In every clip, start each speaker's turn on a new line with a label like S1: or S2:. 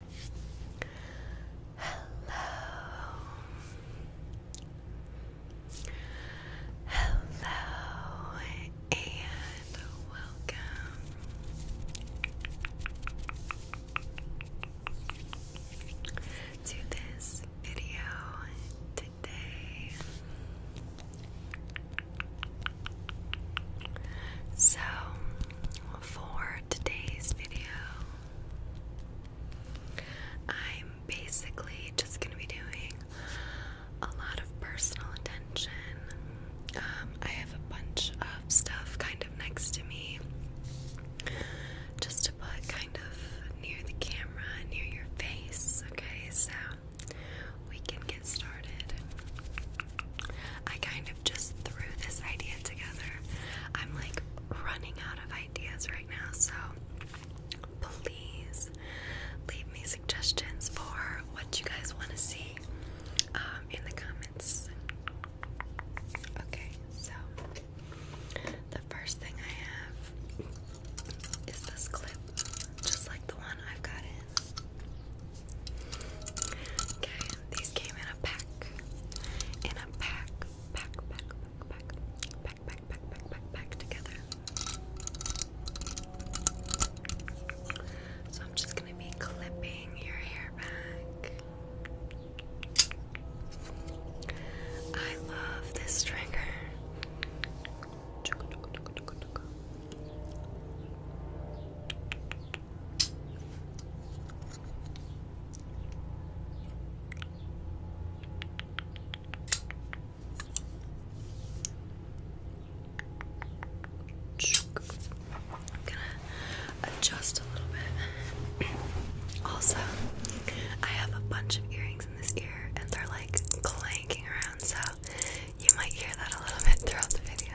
S1: Hello. Hello and welcome. To this video today. So, for today's video. I'm basically just going to be doing a lot of personal attention. Um, I have a bunch of stuff kind of next to me just to put kind of near the camera, near your face, okay? So we can get started. I kind of just threw this idea together. I'm like running out of ideas right now, so please leave me suggestions for what you guys want to see um, in the comments. Okay, so the first thing I have is this clip, just like the one I've got in. Okay, these came in a pack. In a pack, pack, pack, pack, pack, pack, pack, pack, pack, pack, together. So I'm just gonna be clipping your hair back. I love this trigger. I'm gonna adjust a little bit. also, I have a bunch of earrings in this ear and they're like clanking around, so you might hear that a little bit throughout the video.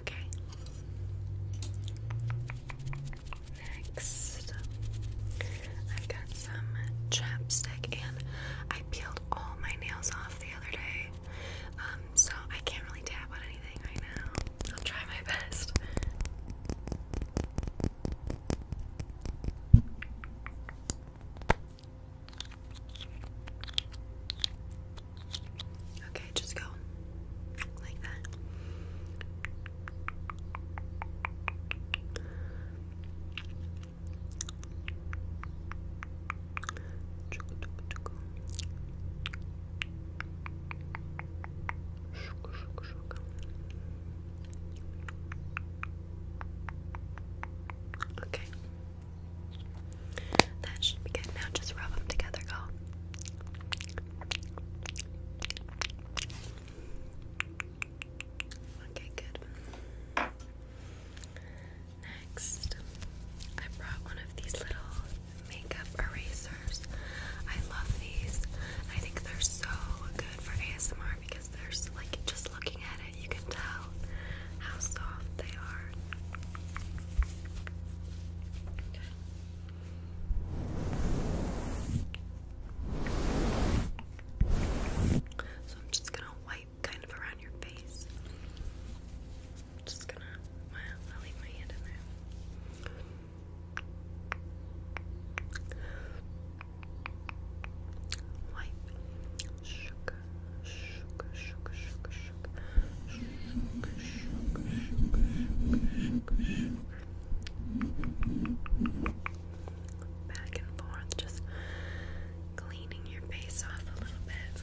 S1: Okay. Next, I've got some chapstick, and I peeled all my nails off the other day, um, so I can't really tap on anything right now. I'll try my best. Okay, just go like that. Chuku, chuku, chuku. Okay. That should be good. Now just rub them together, go. Okay, good. Next, I brought one of these little makeup erasers. I love these. I think they're so good for ASMR because there's like just looking at it, you can tell how soft they are. So I'm just gonna wipe kind of around your face. I'm just gonna, I'll leave my hand in there. Wipe. Shook, shook, shook, shook, shook, shook, shook, shook, shook, shook. Back and forth, just cleaning your face off a little bit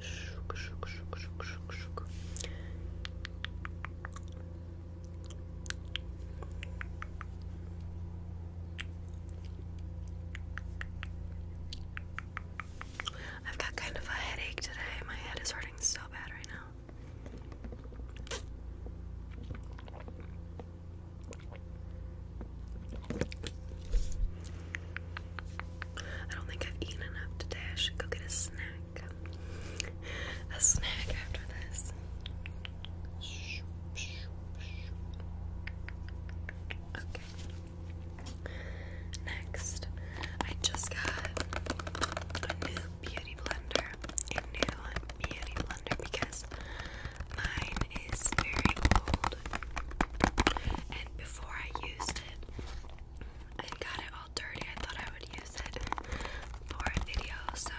S1: Shook, shook, shook, shook, shook, shook. I've got kind of a headache today. My head is hurting so bad right now. I don't think I've eaten enough today. I should go get a snack. A snack after this. Okay. Next, I just got a new beauty blender. A new beauty blender because mine is very old. And before I used it, I got it all dirty. I thought I would use it for a video, so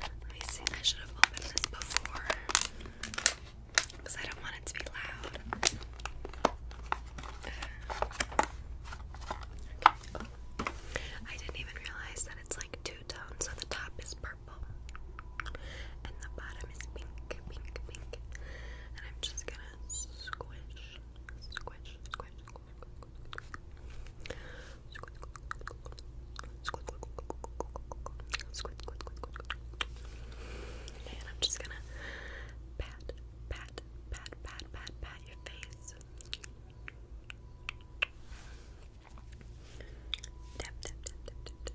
S1: let me see. I should have opened this before because I don't want it to be loud. I didn't even realize that it's like two tones, so the top is purple and the bottom is pink, pink, pink. And I'm just gonna squish, squish, squish, squish, squish, and I'm just gonna pat, pat, pat, pat, pat, pat your face. Tap, tap, tap, tap, tap, tap,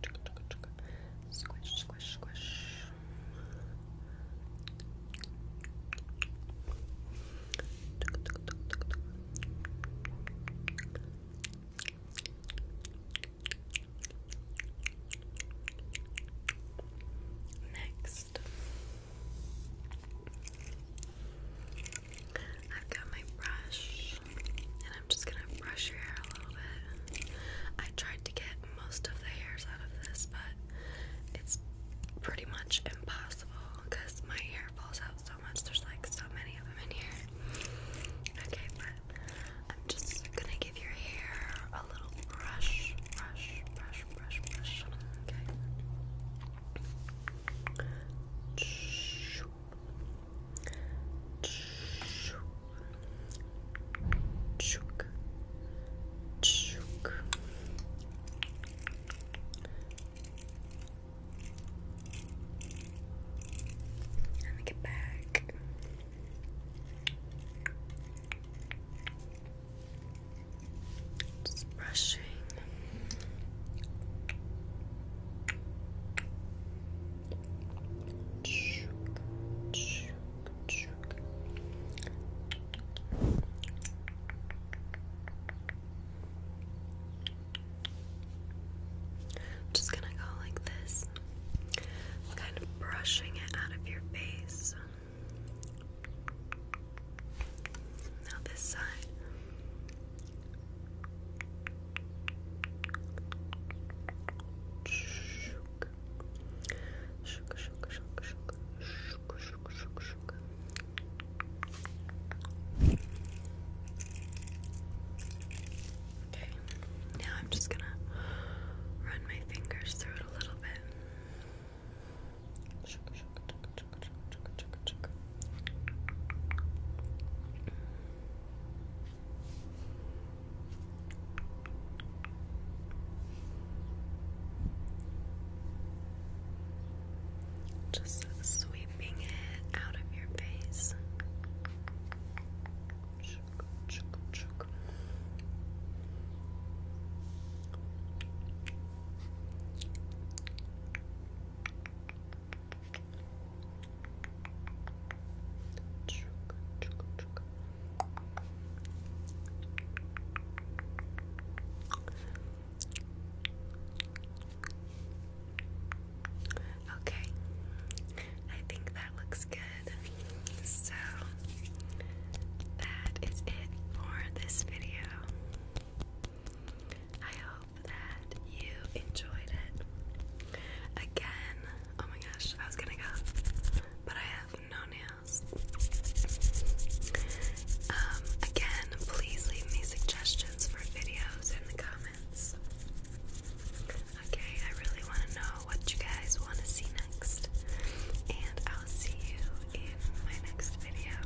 S1: Czeka, czeka, czeka. Squish, squish, squish. Next, I've got my brush, and I'm just gonna brush your hair a little bit. I tried to get most of the hairs out of this, but it's pretty much impossible because my hair falls out so much. There's like so many of them in here. Okay, but I'm just gonna give your hair a little brush, brush, brush, brush, brush. Okay. Chook. Chook. Let me get back. Just brushing. Just gonna go like this, kind of brushing it out of your face. Now, this side, Sugar, sugar, sugar, sugar, sugar, sugar, sugar, sugar. Okay, now I'm just gonna run my fingers through it a little bit. Sugar, sugar, sugar, sugar, sugar, sugar, sugar. Just sweeping it out of your face. Okay, I think that looks good. So, that is it for this video. I hope that you enjoyed it. Again, oh my gosh, I was gonna go, but I have no nails. Um, again, please leave me suggestions for videos in the comments. Okay, I really want to know what you guys want to see next, and I'll see you in my next video.